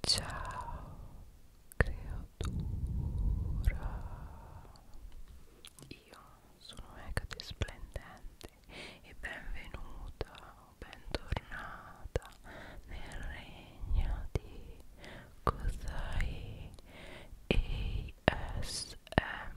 Ciao creatura, io sono Ecate Splendente e benvenuta o bentornata nel regno di Kozai ASMR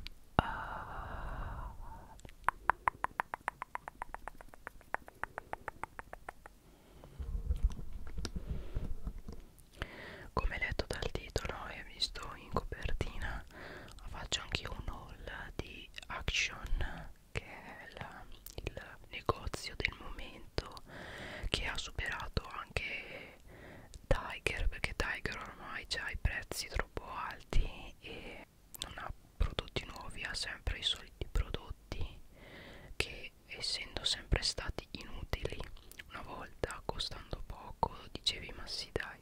come letto dal titolo e visto in copertina, faccio anche un haul di Action, che è la, il negozio del momento che ha superato anche Tiger, perché Tiger ormai ha i prezzi troppo alti e non ha prodotti nuovi, ha sempre i soliti prodotti che che essendo sempre stati inutili una volta costando poco dicevi ma sì dai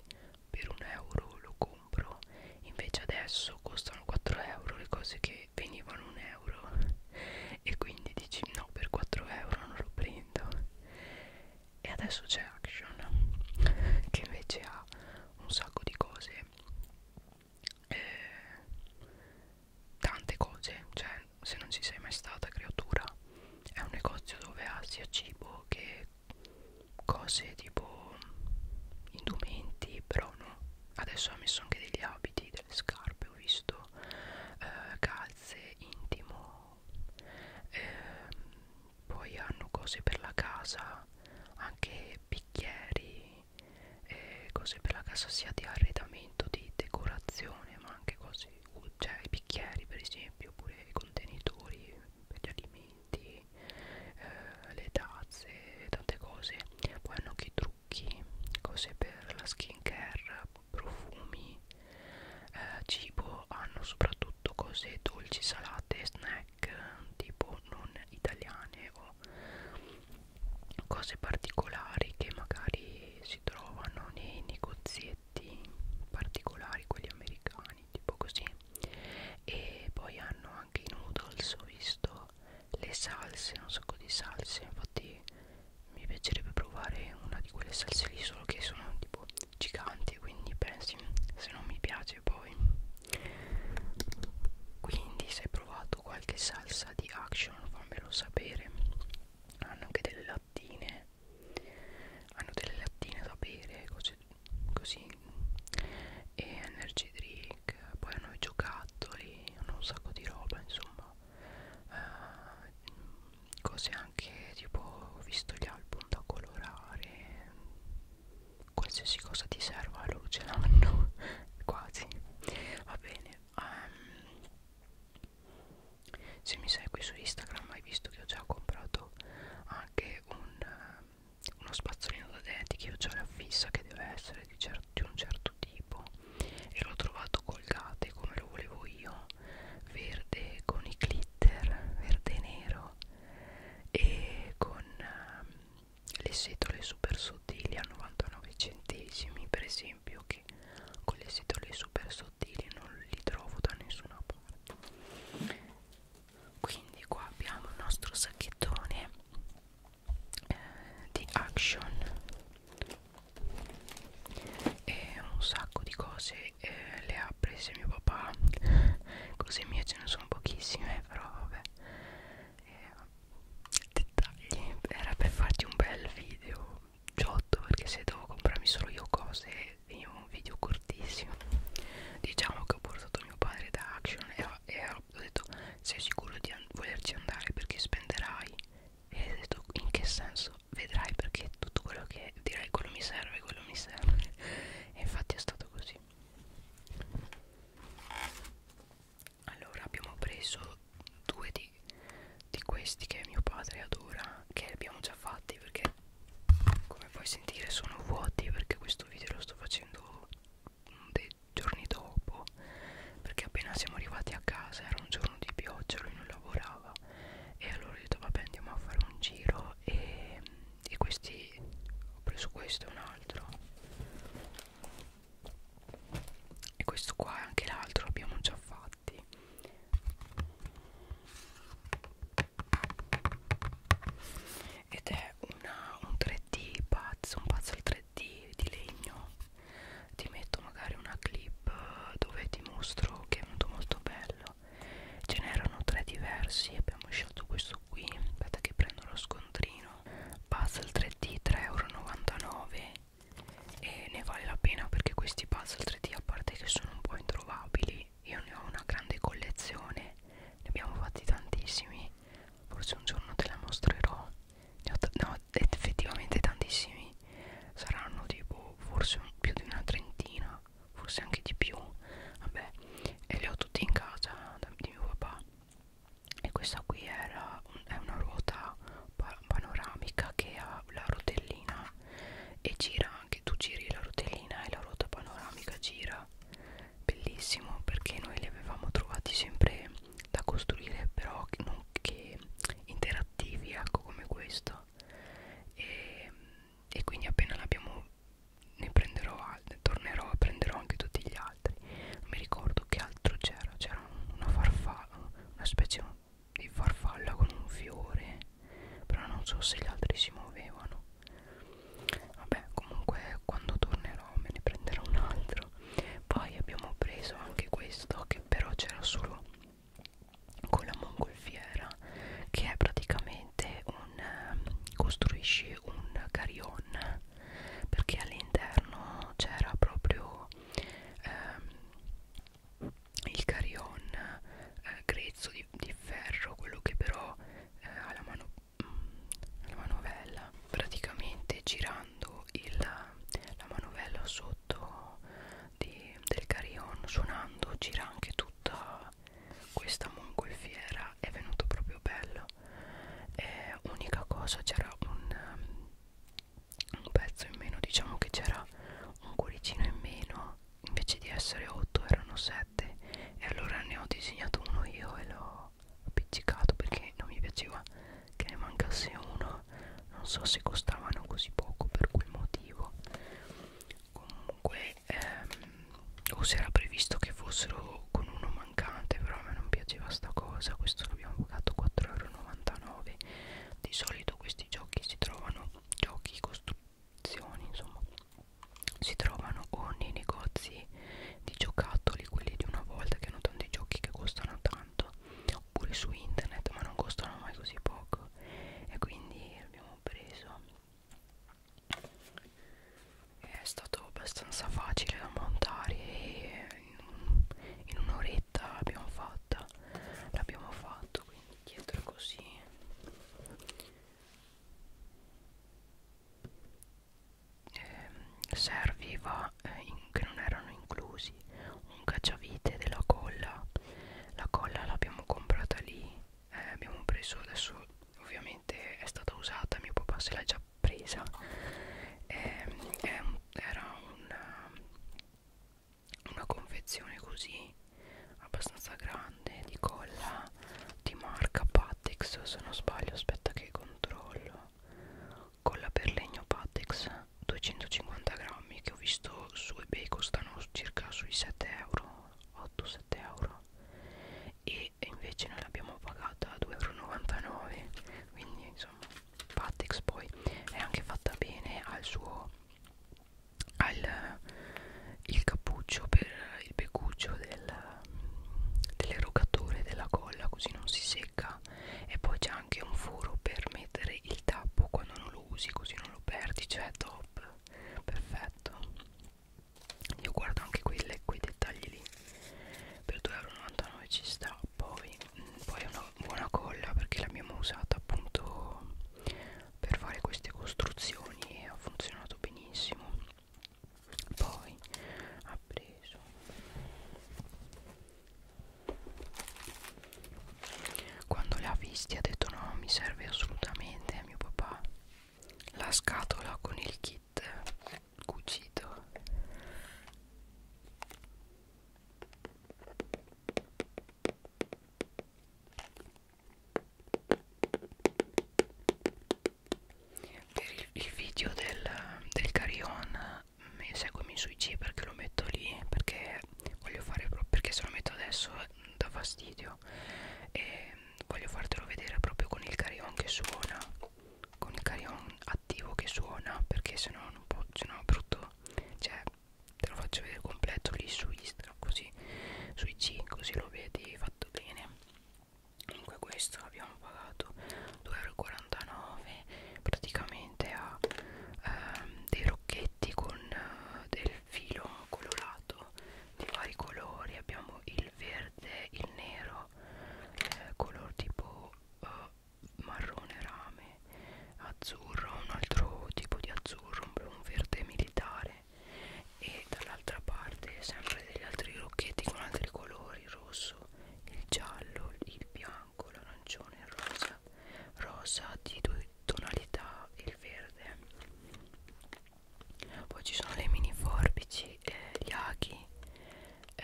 per un euro lo compro invece adesso costano 4 euro le cose che venivano un euro e quindi dici no per 4 euro non lo prendo e adesso c'è Action che invece ha un sacco di cose eh, tante cose cioè se non ci sei mai stata creatura è un negozio dove ha sia cibo che cose tipo indumenti però no adesso ha messo anche degli abiti delle scarpe ho visto eh, calze intimo eh, poi hanno cose per la casa anche bicchieri eh, cose per la casa sia di arredamento, di decorazione, ma anche cose, cioè i bicchieri per esempio, oppure i contenitori per gli alimenti, eh, le tazze, tante cose. Poi hanno anche i trucchi, cose per la skin care, profumi, eh, cibo, hanno soprattutto cose dolci, salate, snack tipo non italiane o cose particolari che magari si trovano nei negozietti particolari quelli americani tipo così e poi hanno anche i noodles ho visto le salse un sacco di salse infatti mi piacerebbe provare una di quelle salse lì solo che sono tipo giganti quindi pensi se non mi piace poi quindi se hai provato qualche salsa di action giorno fammelo sapere hanno anche delle lattine hanno delle lattine da bere cose, così e energy drink poi hanno i giocattoli hanno un sacco di roba insomma eh, cose anche tipo ho visto gli album da colorare qualsiasi cosa ti serva loro ce l'hanno quasi va bene um, se mi segui su Instagram hai visto che ho già comprato anche un, uh, uno spazzolino da denti che ho già la fissa che deve essere di, cer di un certo tipo e l'ho trovato colgate come lo volevo io verde con i glitter verde e nero e con um, le setole super sottili a 99 centesimi per esempio perché con le setole super sottili non li trovo da nessuna parte quindi qua abbiamo il nostro sacchettone eh, di action e un sacco di cose eh, le ha prese mio papà cose mie ce ne sono pochissime però vabbè e eh, dettagli era per farti un bel video giotto perché se devo comprarmi solo io cose veniva un video cortissimo diciamo che ho portato mio padre da action e, e ho detto sei sicuro di an volerci andare perché spenderai e ho detto in che senso vedrai perché tutto quello che direi quello mi serve quello mi serve e infatti è stato così allora abbiamo preso due di, di questi che mio padre adora che abbiamo già fatti perché come puoi sentire sono vuoti perché questo video lo sto facendo mm, dei giorni dopo perché appena siamo arrivati a casa era un giorno di pioggia lui non lavorava e allora ho detto vabbè andiamo a fare un giro e, e mm, questi ho preso questo e un altro e questo qua e anche l'altro l'abbiamo già fatti ed è una, un 3D pazzo un puzzle 3D di legno ti metto magari una clip dove ti mostro che è molto molto bello ce n'erano tre diversi abbiamo scelto questo qui aspetta che prendo lo scontrino puzzle 3D 3,99€ e ne vale la pena perché questi puzzle 3D a parte che sono un po' introvabili io ne ho una grande collezione ne abbiamo fatti tantissimi forse un giorno te la mostrerò ne ho, ne ho effettivamente tantissimi saranno tipo forse un, più di una trentina forse anche di più vabbè e li ho tutti in casa da, di mio papà e questa qui era un, è una ruota panoramica che ha la rotellina e gira anche tu giri la rotellina e la ruota panoramica gira bellissimo perché noi li avevamo trovati sempre da costruire però che non che interattivi ecco come questo e, e quindi appena l'abbiamo ne prenderò altre tornerò prenderò anche tutti gli altri non mi ricordo che altro c'era c'era una farfalla una specie di farfalla con un fiore però non so se gli altri si muovevano vabbè comunque quando tornerò me ne prenderò un altro poi abbiamo preso anche questo che però c'era solo con la mongolfiera che è praticamente un ehm, costruisci un carillon perché all'interno c'era proprio ehm, il carion eh, grezzo di, di ferro quello che però eh, ha la, mano, mh, mm, la manovella praticamente girando il, la manovella sotto di, del carion suonando gira anche tutta questa mongolfiera è venuto proprio bello eh, unica cosa c'era un un pezzo in meno diciamo che c'era un cuoricino in meno invece di essere 8 erano 7 e allora ne ho disegnato uno io e l'ho appiccicato perché non mi piaceva che ne mancasse uno non so se costavano così poco per quel motivo comunque ehm, o se era previsto che fossero con uno mancante però a me non piaceva sta cosa questo l'abbiamo pagato 4,99 euro di solito questi giochi si trovano giochi costruzioni insomma si trovano o nei negozi di giocattoli quelli di una volta che hanno tanti giochi che costano tanto oppure su internet ma non costano mai così poco e quindi abbiamo preso è stato abbastanza facile da montare e in un'oretta scaletta l'abbiamo fatta l'abbiamo fatto quindi dietro così eh, serviva eh, in, che non erano inclusi un cacciavite della colla la colla l'abbiamo comprata lì eh, abbiamo preso adesso ovviamente è stata usata mio papà se l'ha già presa eh, eh, era un una confezione così abbastanza grande di colla di marca Patex se non sbaglio aspetta che controllo colla per legno Patex 250 grammi che ho visto su ebay costano circa sui 7 euro 8-7 euro e invece noi l'abbiamo pagata a 2,99 euro quindi insomma Patex poi è anche fatta bene al suo al il cappuccio per il beccuccio del, dell'erogatore della colla così non si secca e poi c'è anche un foro per mettere il tappo quando non lo usi così non lo perdi cioè top perfetto io guardo anche quelle, quei dettagli lì per 2,99 euro ci sta poi poi una buona colla perché l'abbiamo usata appunto per fare queste costruzioni e ha funzionato benissimo poi ha preso quando l'ha visti ha detto no mi serve assolutamente a mio papà la scatola con il kit cucito per il, il video del, del carion mi seguimi su IG perché lo metto lì perché voglio fare proprio perché se lo metto adesso mm, dà fastidio e mm, voglio fartelo vedere proprio con il carion che suona con il carion attivo che suona perché sennò non può sennò è brutto cioè te lo faccio vedere completo lì su Instagram così su IG così lo vedi fatto bene comunque questo l'abbiamo pagato 2,49€ praticamente ha ehm, dei rocchetti con eh, del filo colorato di vari colori abbiamo il verde il nero eh, color tipo eh, marrone rame azzurro un altro tipo di azzurro un, un verde militare e dall'altra parte sempre degli altri rocchetti con altri colori il rosso il giallo il bianco l'arancione il rosa rosa di due tonalità e il verde poi ci sono le mini forbici eh, gli aghi eh,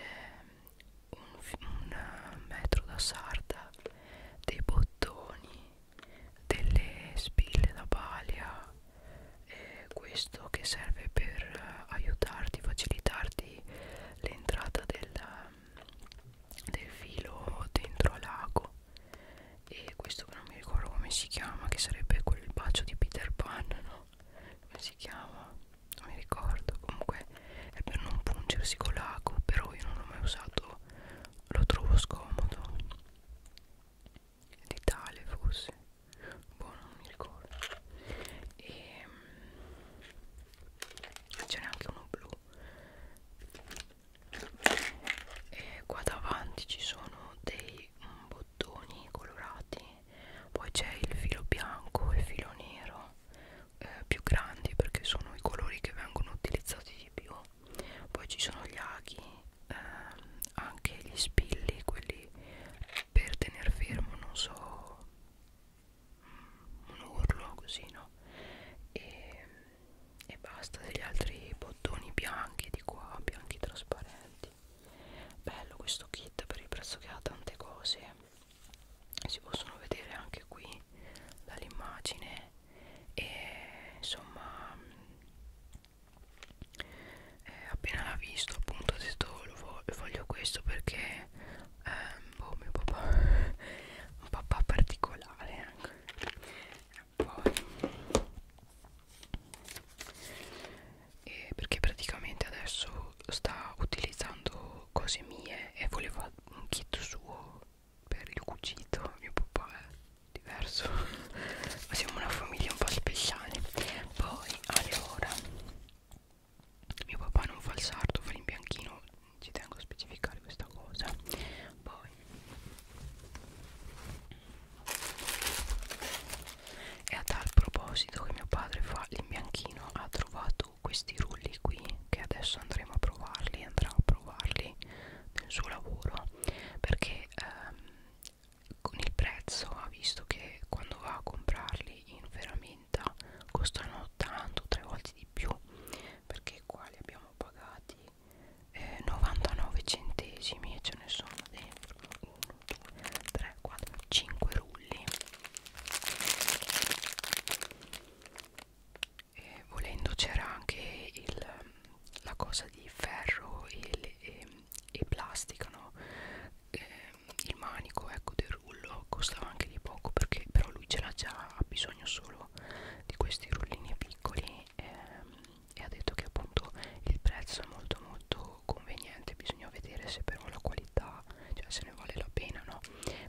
un, un eh, metro da sarda dei bottoni delle spille da balia eh, questo che serve per eh, aiutarti facilitarti l'entrata del, ehm, del filo dentro l'ago e questo che non mi ricordo come si chiama che sarebbe quel bacio di Peter Pan no? come si chiama non mi ricordo comunque è per non pungersi con l'ago però io non l'ho mai usato lo trovo scomodo d'Italia forse boh non mi ricordo e ehm, ce n'è anche uno blu e qua davanti ci sono dei bottoni colorati poi c'è il filo bianco e il filo nero eh, più grandi perché sono i colori che vengono utilizzati di più poi ci sono gli aghi ehm, anche gli spilli quelli per tenere fermo non so mm, un urlo così no e, e basta degli altri bottoni bianchi di qua bianchi trasparenti bello questo kit per il prezzo che ha tante cose si possono vedere anche qui dall'immagine e insomma eh, appena l'ha visto appunto ho detto oh, lo voglio, voglio questo perché ehm, boh, mio papà un papà particolare anche ecco. poi e perché praticamente adesso sta utilizzando cose mie e voleva un kit suo per il cucito mio papà è diverso ma siamo una famiglia un po' speciale poi allora mio papà non fa il sarto fa l'imbianchino ci tengo a specificare questa cosa poi e a tal proposito che mio padre fa l'imbianchino ha trovato questi rulli qui che adesso andremo a provarli andrà a provarli nel suo lavoro perché ehm, con il prezzo ha visto che quando va a comprarli in ferramenta costano tanto tre volte di più perché qua li abbiamo pagati eh, 99 centesimi e ce ne sono dentro 1 2 3 4 5 rulli e volendo c'era anche il, la cosa di ferro e, le, e, e plastica no? e, il manico ecco del rullo costava anche di poco perché però lui ce l'ha già ha bisogno solo di questi rullini piccoli ehm, e ha detto che appunto il prezzo è molto molto conveniente bisogna vedere se però la qualità cioè se ne vale la pena no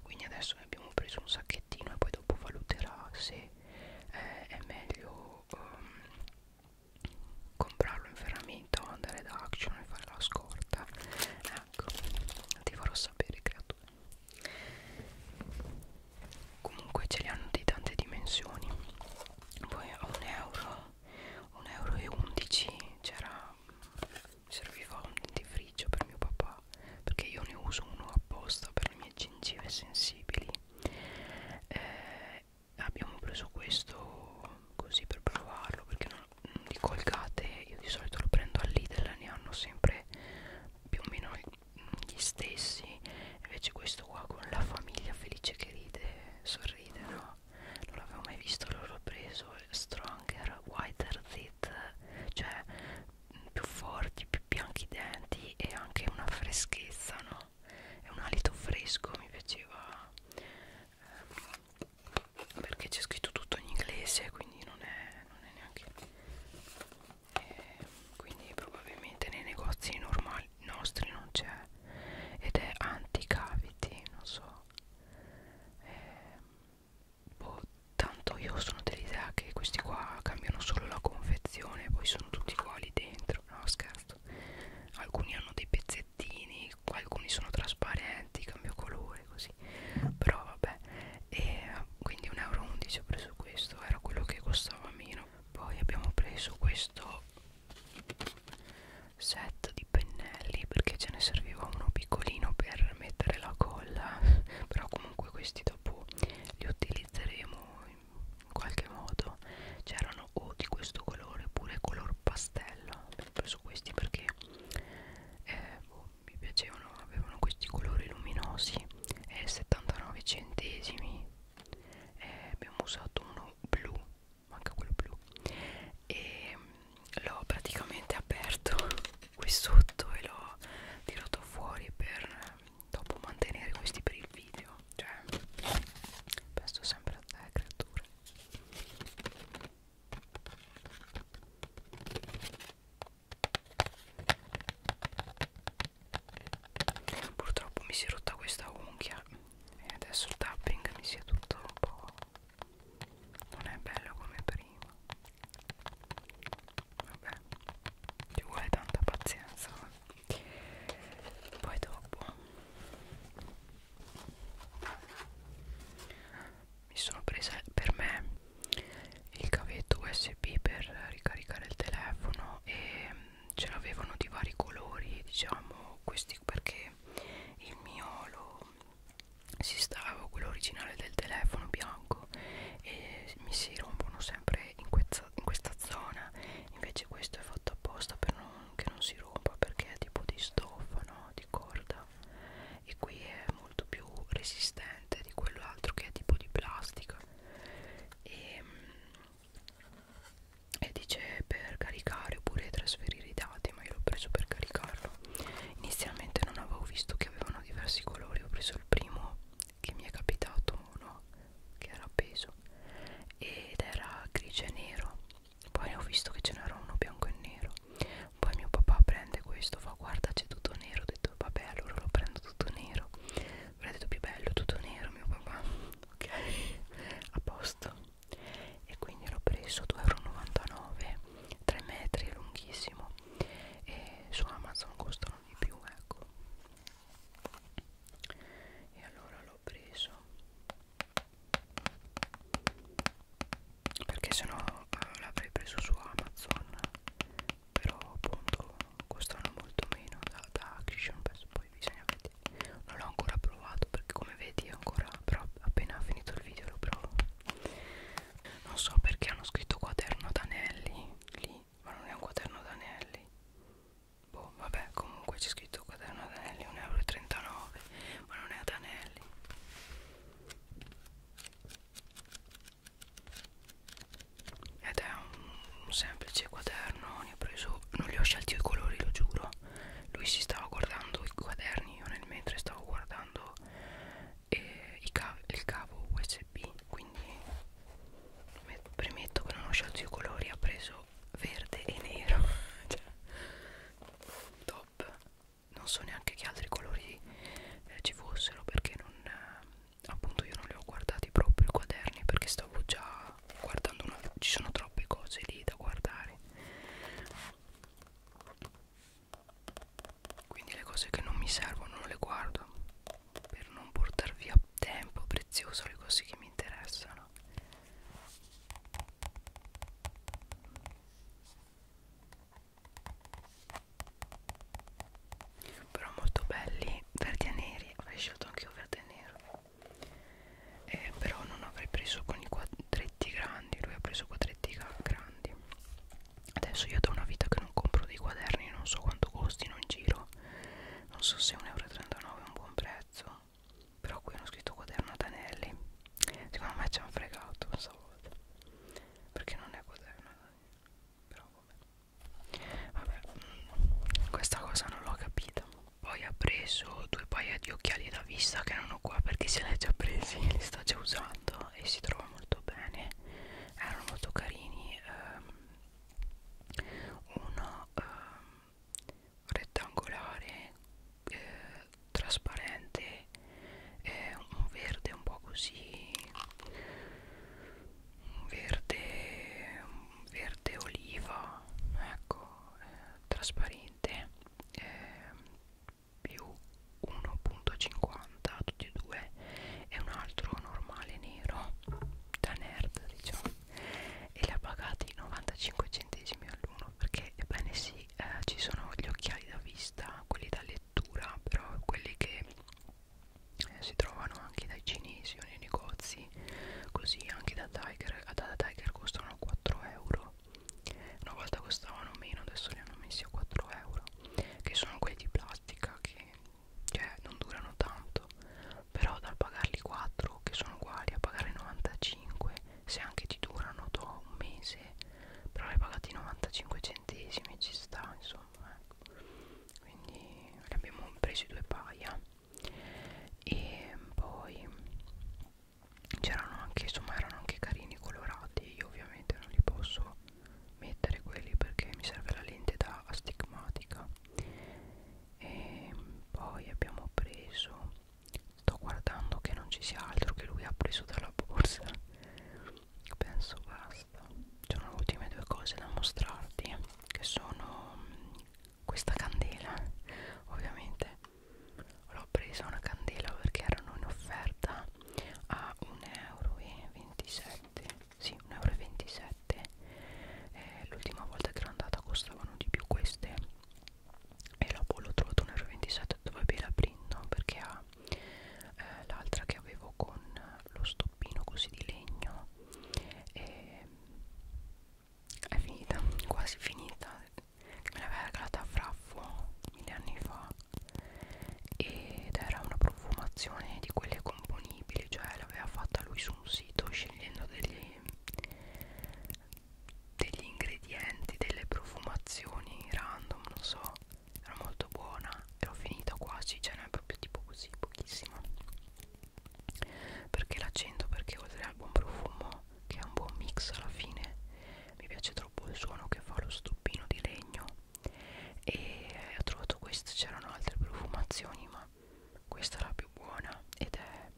quindi adesso ne abbiamo preso un sacchettino e poi poi dopo valuterà se eh, è meglio um, comprarlo in ferramenta o andare da Action e fare la scorta ecco ti farò sapere creatura comunque ce li hanno di tante dimensioni poi a un euro 1,11 euro c'era serviva un dentifricio per mio papà perché io ne uso uno apposta per le mie gengive sensibili eh, abbiamo preso questo così per provarlo perché non, di colgate io di solito lo prendo all'Idel ne hanno sempre più o meno gli stessi invece questo qua con la famiglia felice che ride sorride no non l'avevo mai visto l'ho preso stronger whiter zit cioè più forti, più bianchi i denti e anche una freschezza, no? È un alito fresco, mi piaceva eh, perché c'è scritto tutto in inglese, quindi non è, non è neanche. Eh, quindi probabilmente nei negozi normali nostri non c'è ed è anti caviti, non so. Eh, boh, tanto io sono dell'idea che questi qua cambiano solo la confezione poi sono tutti uguali dentro no scherzo alcuni hanno dei pezzettini alcuni sono trasparenti cambio colore così però vabbè e quindi 1,11 euro ho preso questo era quello che costava meno poi abbiamo preso questo set di pennelli perché ce ne serviva uno piccolino per mettere la colla però comunque questi dopo li utilizzeremo in qualche modo c'erano o di questo colore oppure color pastello ho preso questi perché eh, boh, mi piacevano avevano questi colori luminosi e eh, 79 centesimi eh, abbiamo usato uno blu manca quello blu e mm, l'ho praticamente aperto qui sotto e l'ho tirato fuori per dopo mantenere questi per il video cioè penso sempre a te creatura purtroppo mi si è rotta questa unghia e adesso il tapping mi si è tutto un po' non è bello come per prima vabbè ci vuole tanta pazienza poi dopo mi sono presa per me il cavetto usb per ricaricare il telefono e mm, ce l'avevano di vari colori diciamo questi perché il mio lo si stava quello originale del telefono bianco ecco e mi si rompono sempre in questa, in questa zona invece questo è fatto apposta per non, che non si rompa perché è tipo di stoffa no? di corda e qui è molto più resistente di quell'altro che è tipo di plastica e, e dice per caricare oppure trasferire i dati ma io l'ho preso per caricarlo inizialmente non avevo visto che avevano diversi colori ho preso il primo che mi è capitato uno che era appeso ed era grigio e nero poi ho visto che ce n'era uno bianco e nero poi mio papà prende questo fa guarda c'è tutto nero ho detto vabbè allora lo prendo tutto nero mi ha detto più bello tutto nero mio papà ok a posto e quindi l'ho preso 2,99 euro 3 metri lunghissimo e su Amazon costa piacciono di più ecco e allora l'ho preso perché sennò eh, l'avrei preso su Amazon però appunto costano molto meno da, da Action Pass poi bisogna vedere non l'ho ancora provato perché come vedi ancora però appena finito il video lo provo non so perché hanno scritto quaderno d'anelli lì ma non è un quaderno d'anelli boh vabbè comunque c'è scritto quaderno d'anelli 1,39 euro ma non è ad anelli ed è un, un semplice quaderno ne ho preso non li ho scelti i colori lo giuro lui si stava guardando i quaderni io nel mentre stavo guardando eh, i cav il cavo USB USB quindi premetto che non ho scelto i colori ha preso verde e nero cioè, top non so neanche che altri colori eh, ci fossero perché non eh, appunto io non li ho guardati proprio i quaderni perché stavo già guardando una ci sono troppe cose lì da guardare quindi le cose che non mi servono non le guardo per non portar via tempo prezioso le cose che mi interessano però molto belli verdi e neri avrei scelto anche io verde e nero eh, però non avrei preso con i quadretti grandi lui ha preso quadretti grandi Adesso io da una vita che non compro dei quaderni, non so quanto costino in giro. Non so se 1,39 euro è un buon prezzo. Però qui hanno scritto quaderno ad anelli. Secondo me ci hanno fregato stavolta. Perché non è quaderno ad anelli. Però vabbè. Vabbè, mm, questa cosa non l'ho capita. Poi ha preso due paia di occhiali da vista che non ho qua perché se li ha già presi, li sta già usando e si trova molto bene. Erano molto carini. Ehm, una eh, rettangolare eh, trasparente eh, un verde un po' così un verde un verde oliva ecco eh, trasparente eh, più 1.50 50 tutti e due e un altro normale nero da nerd diciamo e li ha pagati 95 centesimi all'uno perché ebbene sì eh, ci sono gli occhiali da vista quelli da lettura però quelli che eh, si trovano anche dai cinesi o nei negozi così anche da Tiger ah, da Tiger costano 4 euro una volta costavano meno adesso li hanno messi a 4 euro che sono quelli di plastica che cioè non durano tanto però dal pagarli 4 che sono uguali a pagare 95 se anche ti durano to un mese però hai pagati 95 centesimi ci sta insomma ecco. quindi ne abbiamo presi due paia e poi c'erano anche insomma erano anche carini colorati io ovviamente non li posso mettere quelli perché mi serve la lente da astigmatica e poi abbiamo preso sto guardando che non ci sia altro che lui ha preso dalla borsa penso basta sono le ultime due cose da mostrarti che sono mm, questa candela ovviamente l'ho presa una candela perché erano in offerta a 1,27 euro sì 1,27 euro eh, l'ultima volta che ero andata costavano di più queste e dopo l'ho trovato 1,27 dove be la prendo perché ha eh, l'altra che avevo con lo stoppino così di legno e è finita quasi finita che me l'aveva regalata a Fraffo mille anni fa ed era una profumazione di quelle componibili cioè l'aveva fatta lui su un sito scegliendo degli, degli ingredienti delle profumazioni random non so era molto buona e l'ho finita quasi ce cioè n'è proprio tipo così pochissima perché l'accento perché oltre al buon profumo che è un buon mix alla fine mi piace troppo il suono che fa lo stoppino di legno e ho trovato questo c'erano altre profumazioni ma questa è la più buona ed è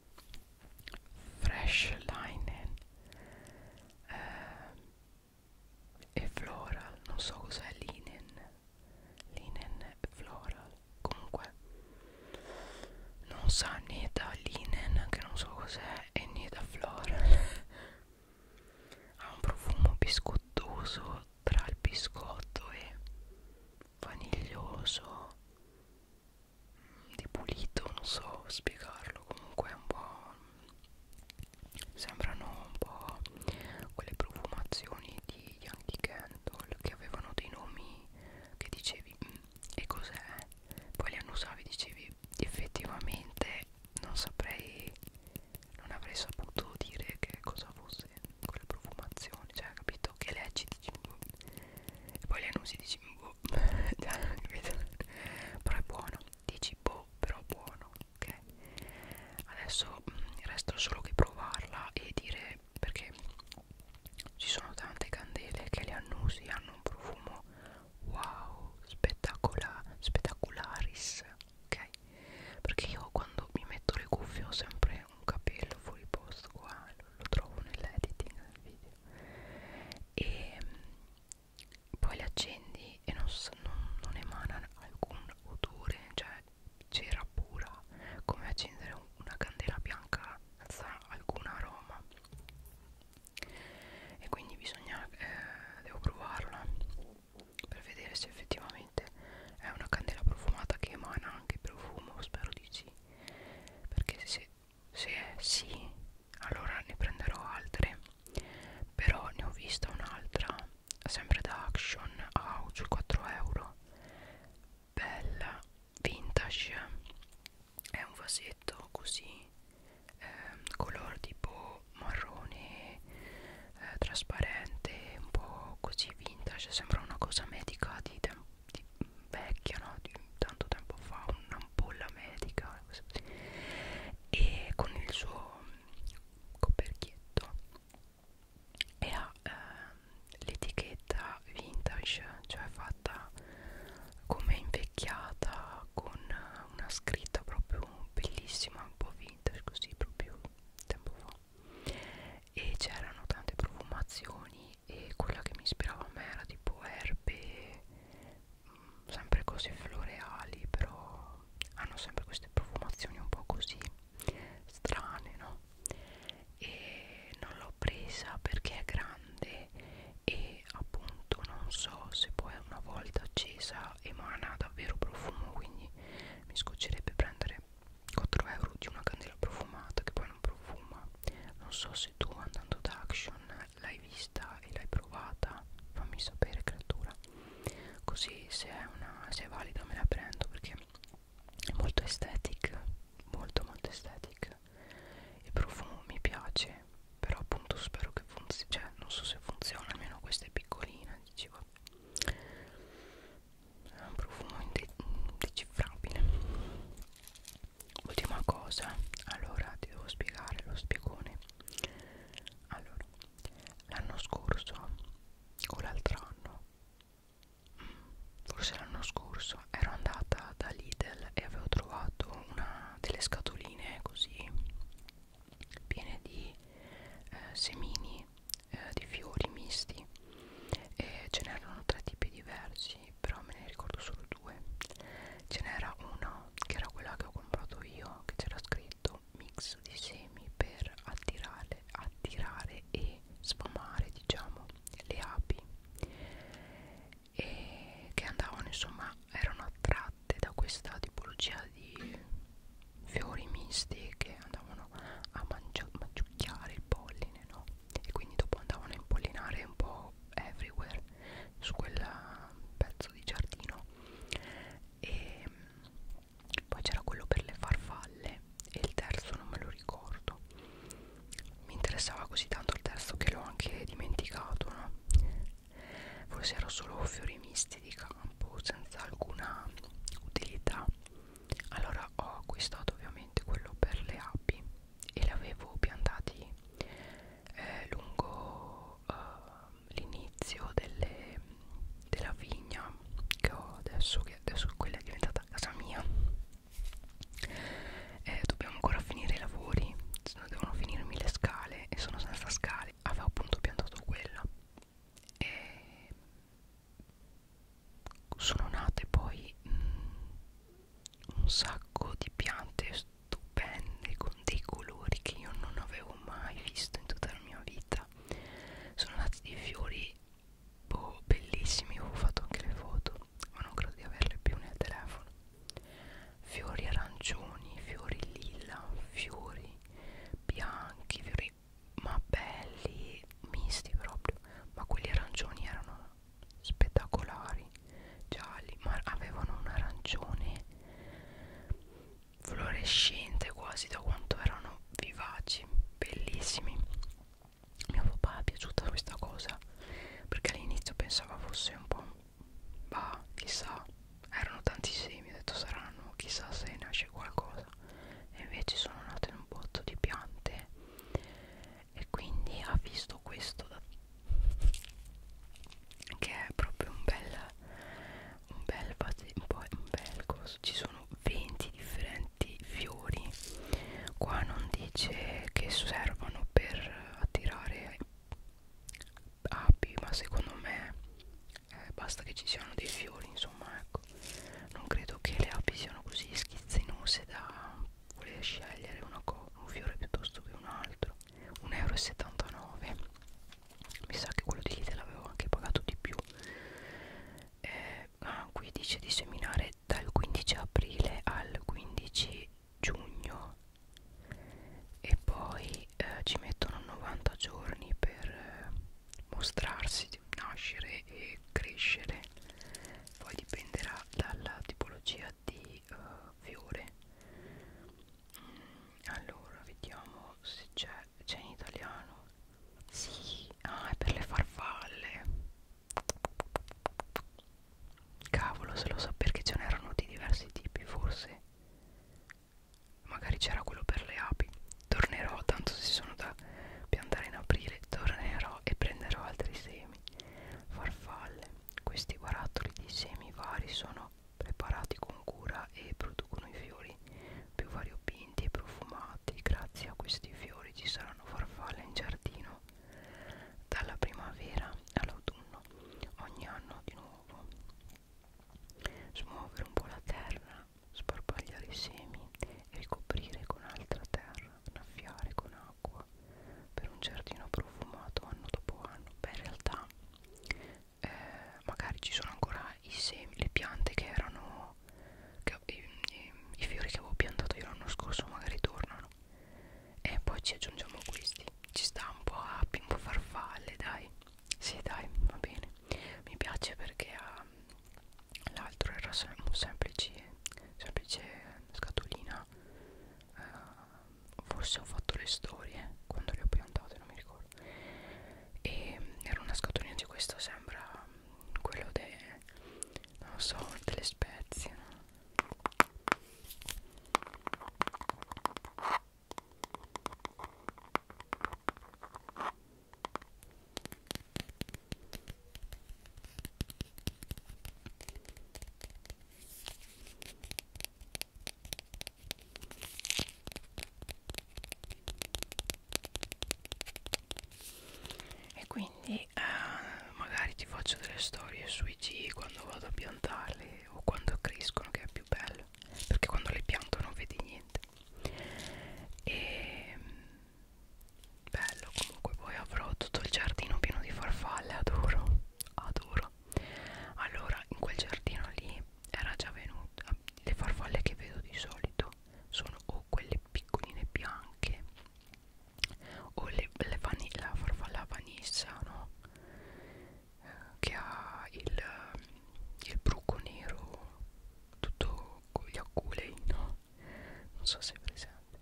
fresh linen eh, e floral non so cos'è linen linen floral comunque non sa né da linen che non so cos'è e né da floral ha un profumo biscottoso tra il biscotto e vaniglioso mm, di pulito non so spiegarlo comunque è un po' sembrano un po' quelle profumazioni di Yankee Candle che avevano dei nomi che dicevi mm, e cos'è poi li annusavi dicevi effettivamente non saprei non avrei saputo dire che cosa fosse quella profumazione cioè capito che leggi di cimbo e poi le annusi di cimbo però è buono dici boh però buono ok adesso mh, mm, resta solo che provarla e dire perché ci sono tante candele che le annusi hanno un profumo wow spettacola spettacularis ok? Perché io quando mi metto le cuffie ho sempre un capello fuori posto qua, lo trovo nell'editing del video e mm, poi le accendi e non, non, non emana alcun odore, cioè c'era pura come accendere una candela bianca senza alcun aroma e quindi bisogna eh, devo provarla per vedere se effettivamente è una candela profumata che emana anche profumo spero di sì perché se, se è sì allora ne prenderò altre però ne ho vista un'altra sempre da Action House 4 euro bella vintage è un vasetto così eh, color tipo marrone eh, trasparente un po' così vintage sembra una cosa medica di, di vecchia no? di tanto tempo fa un'ampolla medica e con il suo coperchietto e ha eh, l'etichetta vintage cioè fatta come invecchiata con una scritta proprio bellissima un po' vintage così proprio tempo fa e c'erano tante profumazioni e quella che mi ispirava a me era tipo erbe mh, mm, sempre cose floreali però hanno sempre queste profumazioni un po' così strane no e non l'ho presa perché è grande e appunto non so se poi una volta accesa emana davvero profumo quindi mi scoccerebbe prendere vendere 4 euro di una candela profumata che poi non profuma non so se tu andando da Action l'hai vista e l'hai provata fammi sapere creatura così se è, una, se è valida me la prendo perché è molto aesthetic molto molto aesthetic il profumo mi piace però appunto spero che funzioni cioè non so se funziona almeno questa è piccolina dicevo ha un profumo indecifrabile ultima cosa allora ti devo spiegare lo spiegone allora l'anno scorso o l'altro anno mm, forse l'anno scorso ero andata da Lidl e avevo trovato una delle scatoline così piene di eh, semini eh, di fiori misti e ce n'erano tre tipi diversi però me ne ricordo solo due ce n'era una che era quella che ho comprato io che c'era scritto mix di semi per attirare attirare e sfamare diciamo le api e che andavano insomma erano attratte da questa tipologia di fiori misti che andavano a mangiucchiare il polline, no? E quindi dopo andavano a impollinare un po' everywhere su quel pezzo di giardino. E ehm, poi c'era quello per le farfalle e il terzo non me lo ricordo. Mi interessava così tanto il terzo che l'ho anche dimenticato, no? Forse erano solo fiori misti di campo senza alcuna utilità allora ho acquistato ovviamente quello per le api e li avevo piantati eh, lungo eh, l'inizio della vigna che ho adesso che adesso quella è diventata casa mia eh, dobbiamo ancora finire i lavori se no devono finirmi le scale e sono senza scale avevo appunto piantato quella e sono nate poi mh, mm, un sacco di piante stupende con dei colori che io non avevo mai visto in tutta la mia vita sono nati dei fiori boh, bellissimi ho fatto anche le foto ma non credo di averle più nel telefono fiori arancioni fiori lilla fiori bianchi fiori colori ma belli misti proprio ma quelli arancioni erano spettacolari gialli ma avevano un arancione fluorescente quasi da quanto erano vivaci bellissimi mio papà è piaciuta questa cosa perché all'inizio pensava fosse un po' bah chissà erano tanti semi ho detto saranno chissà se nasce qualcosa e invece sono nate in un botto di piante e quindi ha visto questo da che è proprio un bel un bel un bel coso ci sono 20 differenti fiori qua non dice che servono per attirare api ma secondo me eh, basta che ci siano dei fiori insomma ecco non credo che le api siano così schizzinose da voler scegliere un fiore piuttosto che un altro 1,79 euro mi sa che quello di Lidl l'avevo anche pagato di più eh, ah, qui dice di seminare dal 15 aprile al 15 giugno e poi eh, ci mettono 90 giorni per eh, mostrarsi, nascere e crescere poi dipenderà dalla tipologia di uh, fiore mm, allora vediamo se c'è c'è in italiano sì ah è per le farfalle cavolo se lo so perché ce n'erano di diversi tipi forse magari c'era quello per le api Tornerò, tanto se sono da piantare in aprile, tornerò e prenderò altri semi. Farfalle, questi barattoli di semi vari sono preparati con cura e producono i fiori più variopinti e profumati. Grazie a questi fiori ci saranno farfalle in giardino dalla primavera all'autunno, ogni anno di nuovo. Smuovere un po' la terra sparpagliare i semi, ricoprire con altra terra, annaffiare con acqua per un giardino profumato anno dopo anno. Beh, in realtà eh, magari ci sono ancora i semi, le piante che erano che, i, i, i fiori che avevo piantato io l'anno scorso, magari tornano. E poi ci aggiungiamo questi. Ci sta un po' api, un po' farfalle, dai. Sì, dai, va bene. Mi piace perché ha l'altro era sem un semplice, semplice scatolina uh, forse ho fatto le storie quando le ho piantate non mi ricordo e era una scatolina di questo sembra quello de, non so, delle spezie e quindi eh, magari ti faccio delle storie sui G quando vado a piantarli o quando crescono che è più bello perché quando le pianto non vedi niente e ehm, bello comunque poi avrò tutto il giardino pieno di farfalle adoro adoro allora in quel giardino lì era già venuta ah, le farfalle che vedo di solito sono o quelle piccoline bianche o le, le la farfalla vanissa no? eh, che ha il, il bruco nero tutto con gli aculei no? non so se è presente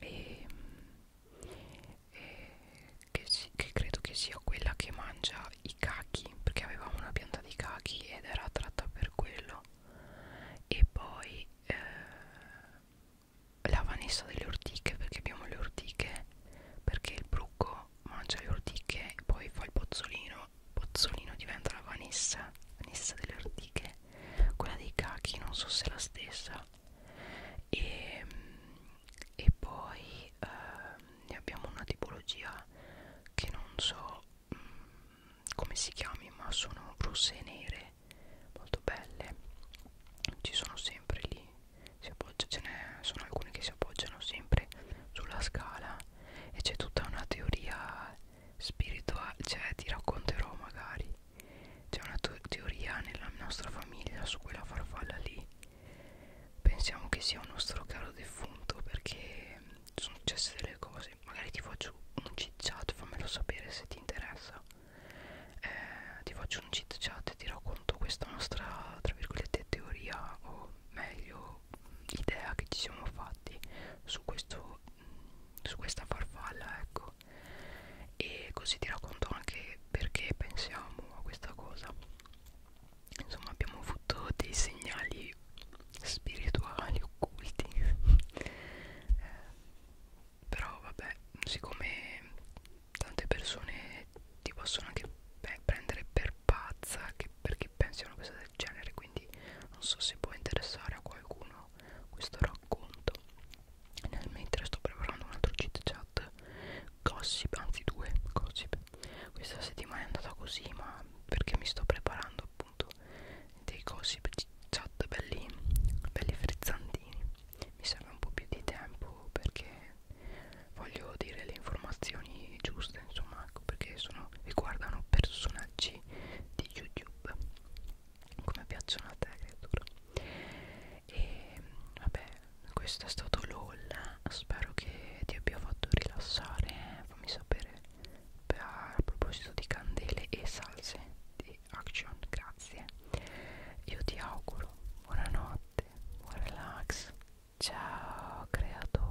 e, e che, si, che credo che sia quella che mangia i cachi perché avevamo una pianta di cachi ed era attratta per quello e poi eh, la Vanessa delle ortiche perché abbiamo le ortiche perché il brucco mangia le ortiche e poi fa il pozzolino Pozzolino diventa la Vanessa Vanessa delle ortiche quella dei cachi non so se è la stessa e, e poi eh, ne abbiamo una tipologia che non so mh, mm, come si chiami ma sono rosse e nere molto belle ci sono sempre lì si appoggia, ce ne sono alcune che si appoggiano sempre sulla scala e c'è tutta una teoria spirituale cioè ti racconterò magari c'è una teoria nella nostra famiglia su quella farfalla lì pensiamo che sia un nostro caro defunto perché mm, sono successe delle cose magari ti faccio un chit chat fammelo sapere se ti interessa eh, ti faccio un chit chat e ti racconto questa nostra tra virgolette teoria o meglio idea che ci siamo fatti su questo su questa farfalla ecco e così ti racconto anche perché pensiamo a questa cosa insomma abbiamo avuto dei segnali spirituali occulti eh, però vabbè siccome tante persone ti possono anche beh, prendere per pazza che perché pensi a una cosa del genere quindi quindi non so se può interessare a qualcuno questo racconto nel mentre sto preparando un altro chit chat gossip anzi due gossip questa settimana è andata così ma perché mi sto preparando appunto dei gossip chat belli belli frizzantini mi serve un po' più di tempo perché voglio dire le informazioni giuste insomma ecco perché sono riguardano personaggi amici di youtube come piacciono a te creatura e vabbè questo è stato LOL spero che ti abbia fatto rilassare fammi sapere a proposito di candele e salse di action grazie io ti auguro buonanotte buon relax ciao creatura